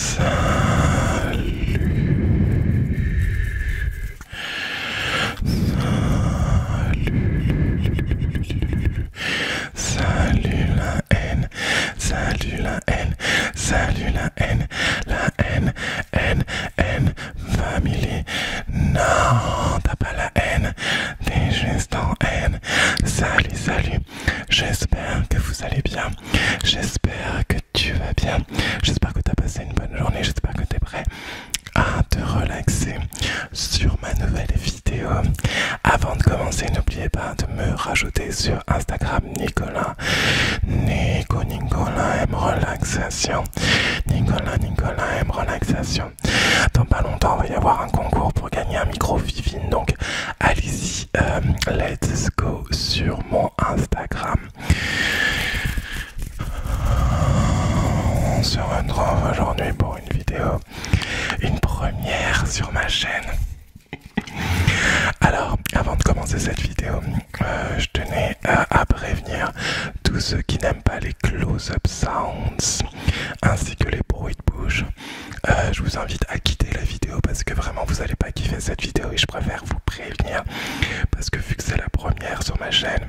Salut la haine, salut la haine, la haine, haine, haine, Family. Non, t'as pas la haine. T'es juste en haine. Salut, salut. J'espère que vous allez bien. J'espère que tu vas bien. J'espère que t'as passé une bonne journée. J'espère que t'es prêt à te relaxer sur ma nouvelle vidéo. Avant de commencer, n'oubliez pas de me rajouter sur Instagram Nicolas Nico Nicolas M Relaxation Nicolas. Nicolas, relaxation. Dans pas longtemps, il va y avoir un concours pour gagner un micro Vivine. Donc, allez-y, euh, let's go sur mon Instagram. On se retrouve aujourd'hui pour une vidéo, une première sur ma chaîne. Alors, avant de commencer cette vidéo, euh, je tenais à, prévenir tous ceux qui n'aiment pas les close-up sounds ainsi que les bruits de bouche. Euh, je vous invite à quitter la vidéo parce que vraiment vous n'allez pas kiffer cette vidéo et je préfère vous prévenir parce que vu que c'est la première sur ma chaîne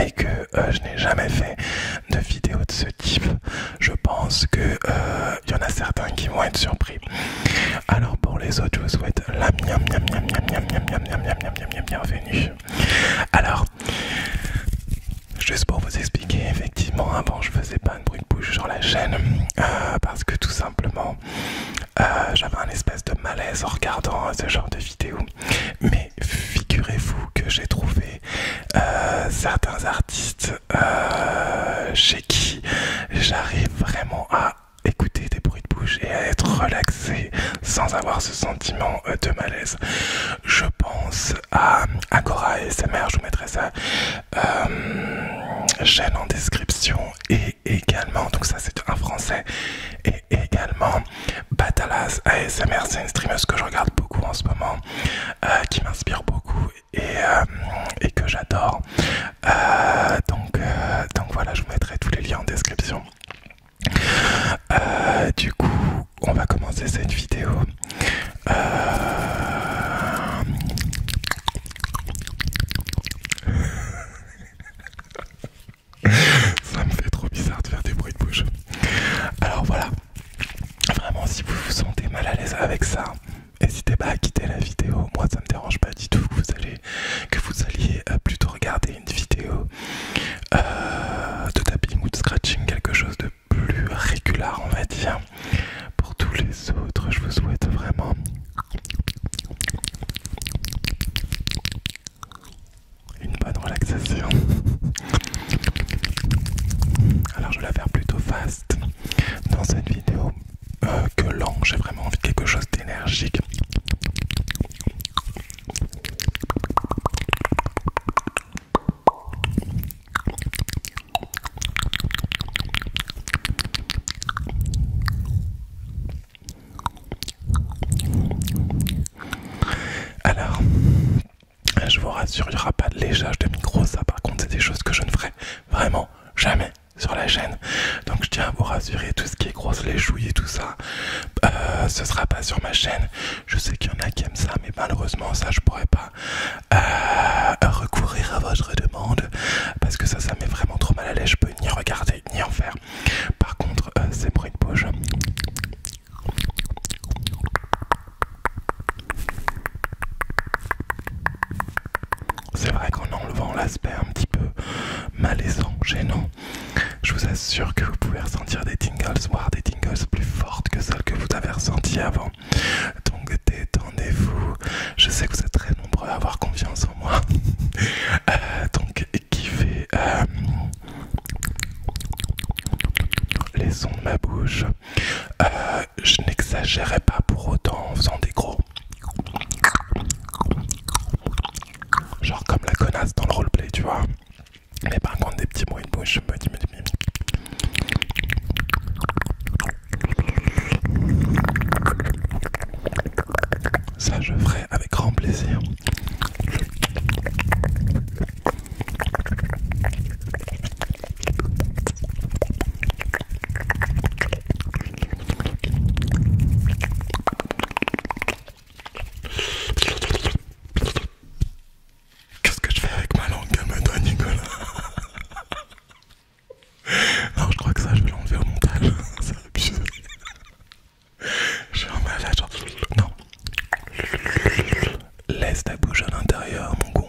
et que euh, je n'ai jamais fait de vidéo de ce type, je pense que il y en a certains qui vont être surpris. Alors pour les autres, je vous souhaite la miam miam miam miam miam miam miam miam miam miam bienvenue. Alors, juste pour vous expliquer, effectivement, avant je faisais pas de bruit de bouche sur la chaîne euh, parce que tout simplement euh, j'avais un espèce de malaise en regardant ce genre de vidéos. Mais figurez-vous que j'ai trouvé euh, certains artistes chez qui j'arrive vraiment à écouter des bruits de bouche et à être relaxé sans avoir ce sentiment euh, de malaise. Je pense à Agora SMR, je vous mettrai ça chaîne euh, en description et également, donc ça c'est un français, et également Batalas ASMR, c'est une streameuse que je regarde beaucoup en ce moment, euh, qui m'inspire beaucoup et que j'adore. Euh, donc, euh, donc voilà, je vous mettrai tous les liens en description. Euh, du coup, on va commencer cette vidéo. Ça me fait trop bizarre de faire des bruits de bouche. Alors voilà, vraiment si vous vous sentez mal à l'aise avec ça, n'hésitez pas à quitter la vidéo. Moi ça me dérange pas du tout. Vous allez que vous alliez euh, plutôt regarder une vidéo euh, de tapping ou de scratching, quelque chose de plus régulier, on va dire. Pour tous les autres, je vous souhaite vraiment une bonne relaxation. Alors je vais la faire plutôt fast dans cette vidéo euh, que lent, j'ai vraiment envie de quelque chose d'énergique. Alors, je vous rassure, il n'y aura pas de léchage de micro, ça par contre c'est des choses que je ne ferai vraiment jamais sur la chaîne. Donc je tiens à vous rassurer, tout ce qui est grosse les et tout ça, euh, ce sera pas sur ma chaîne. Je sais qu'il y en a qui aiment ça, mais malheureusement ça je pourrais pas euh, recourir à votre demande parce que ça, ça met vraiment trop mal à l'aise. Je peux ni regarder ni en faire. Par contre, euh, c'est pour une poche. C'est vrai qu'en enlevant l'aspect un petit peu malaisant, gênant, je vous assure que vous pouvez ressentir des tingles, voire des tingles plus fortes que celles que vous avez ressenties avant. Donc détendez-vous. Je sais que vous êtes très nombreux à avoir confiance en moi. Euh, donc kiffez euh, les sons de ma bouche. Euh, je n'exagérais pas pour autant en faisant des gros Genre comme la connasse dans le roleplay, tu vois. Mais par contre, des petits et une bouche, je me dis, Ça, je ferai avec grand plaisir. Qu'est-ce que je fais avec ma langue Calme-toi, Nicolas. Non, je crois que ça, je vais l'enlever au montage. Ça Je vais enlever malade. Genre... Non. Laisse ta bouche à l'intérieur, mon con.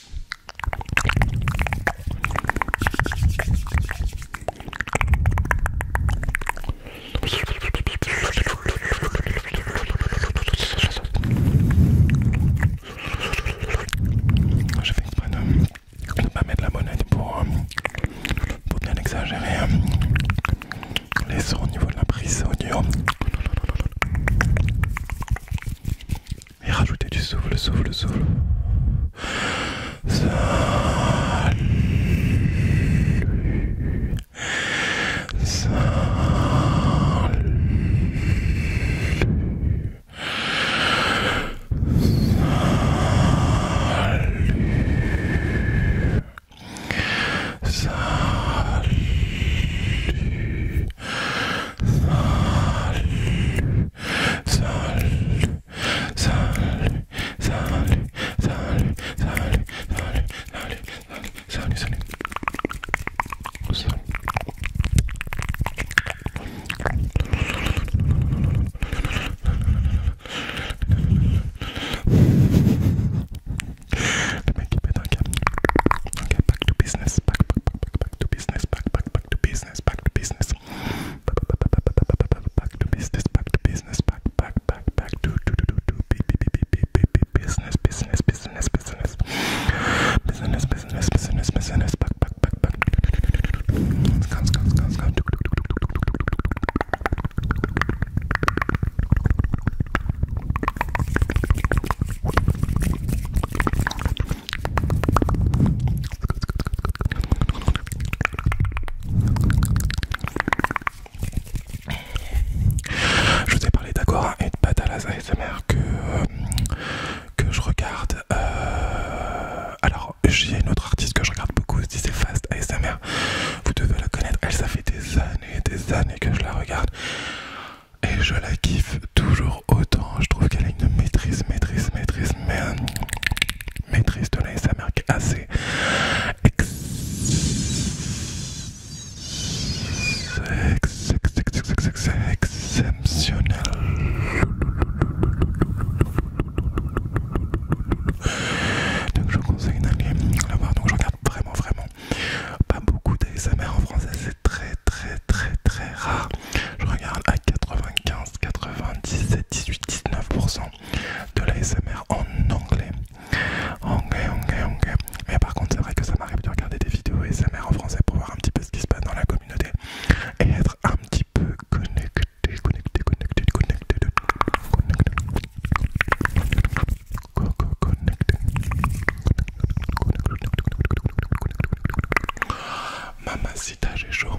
Je fais exprès de ne pas mettre la monnaie pour, euh, pour bien exagérer euh, les sons au niveau de la prise audio et rajouter du souffle, souffle, souffle. Salut. Salut. Let me keep it okay. Okay, back to business. Back, back, back, back, back to business, back, back, back to business, back to business, back to business, back to business, back, back, back, back to do do do do business, business, business, business, business, business, business, business, back, back, back, back. Je vous ai parlé d'Agora et de Patalas ASMR que, euh, que je regarde. Euh, alors, j'ai une autre artiste que je regarde beaucoup c'est Fast ASMR. Vous devez la connaître, elle, ça fait des années et des années que je la regarde et je la kiffe toujours autant. Je trouve qu'elle a une maîtrise, maîtrise, maîtrise, mais, maîtrise de la est assez ex exceptionnelle. Donc je conseille d'aller la voir. Donc je regarde vraiment, vraiment pas beaucoup d'ASMR en français. C'est très, très, très très rare. Je regarde à 95, 97, 18, 19% de SMR en anglais. Anglais, anglais, anglais. Mais par contre, c'est vrai que ça m'arrive de regarder des vidéos SMR en français pour voir un petit peu ce qui se passe dans la communauté et être un petit peu connecté, connecté, connecté, connecté, connecté. connecté. Connecté. Mamacita, j'ai chaud.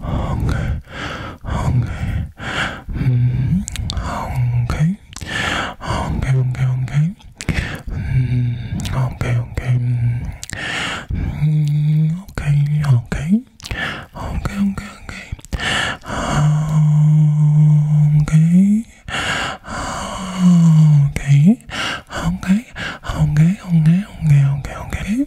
Hungry, hungry, mm, hungry, hungry, hungry, hungry, mm, hungry, hungry, mm, okay, okay, okay, okay, okay, hungry, hungry, hungry, hungry, hungry, hungry, hungry, hungry.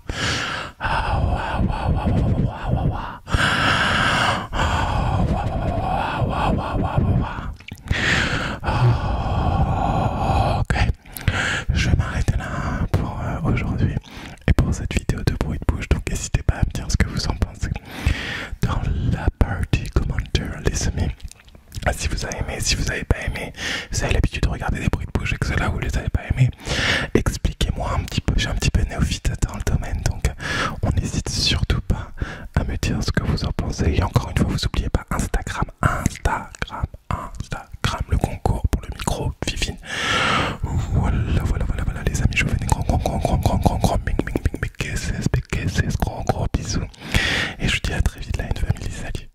Ok, je vais m'arrêter là pour euh, aujourd'hui et pour cette vidéo de bruit de bouche. Donc n'hésitez pas à me dire ce que vous en pensez dans la partie commentaire, les amis. Si vous avez aimé, si vous n'avez pas aimé, vous avez l'habitude de regarder des bruits de bouche et que ceux-là vous les avez pas aimés, Expliquez-moi un petit peu, j'ai un petit peu néophyte dans le domaine, donc on n'hésite surtout pas à me dire ce que vous en pensez. Et encore une fois, vous n'oubliez pas Instagram, Instagram, Instagram, le concours pour le micro, Vivine. Voilà, voilà, voilà, voilà, les amis, je vous fais des gros gros gros grands, grands, grands, grands, gros, gros bisous. Et je vous dis à très vite, la une famille, salut.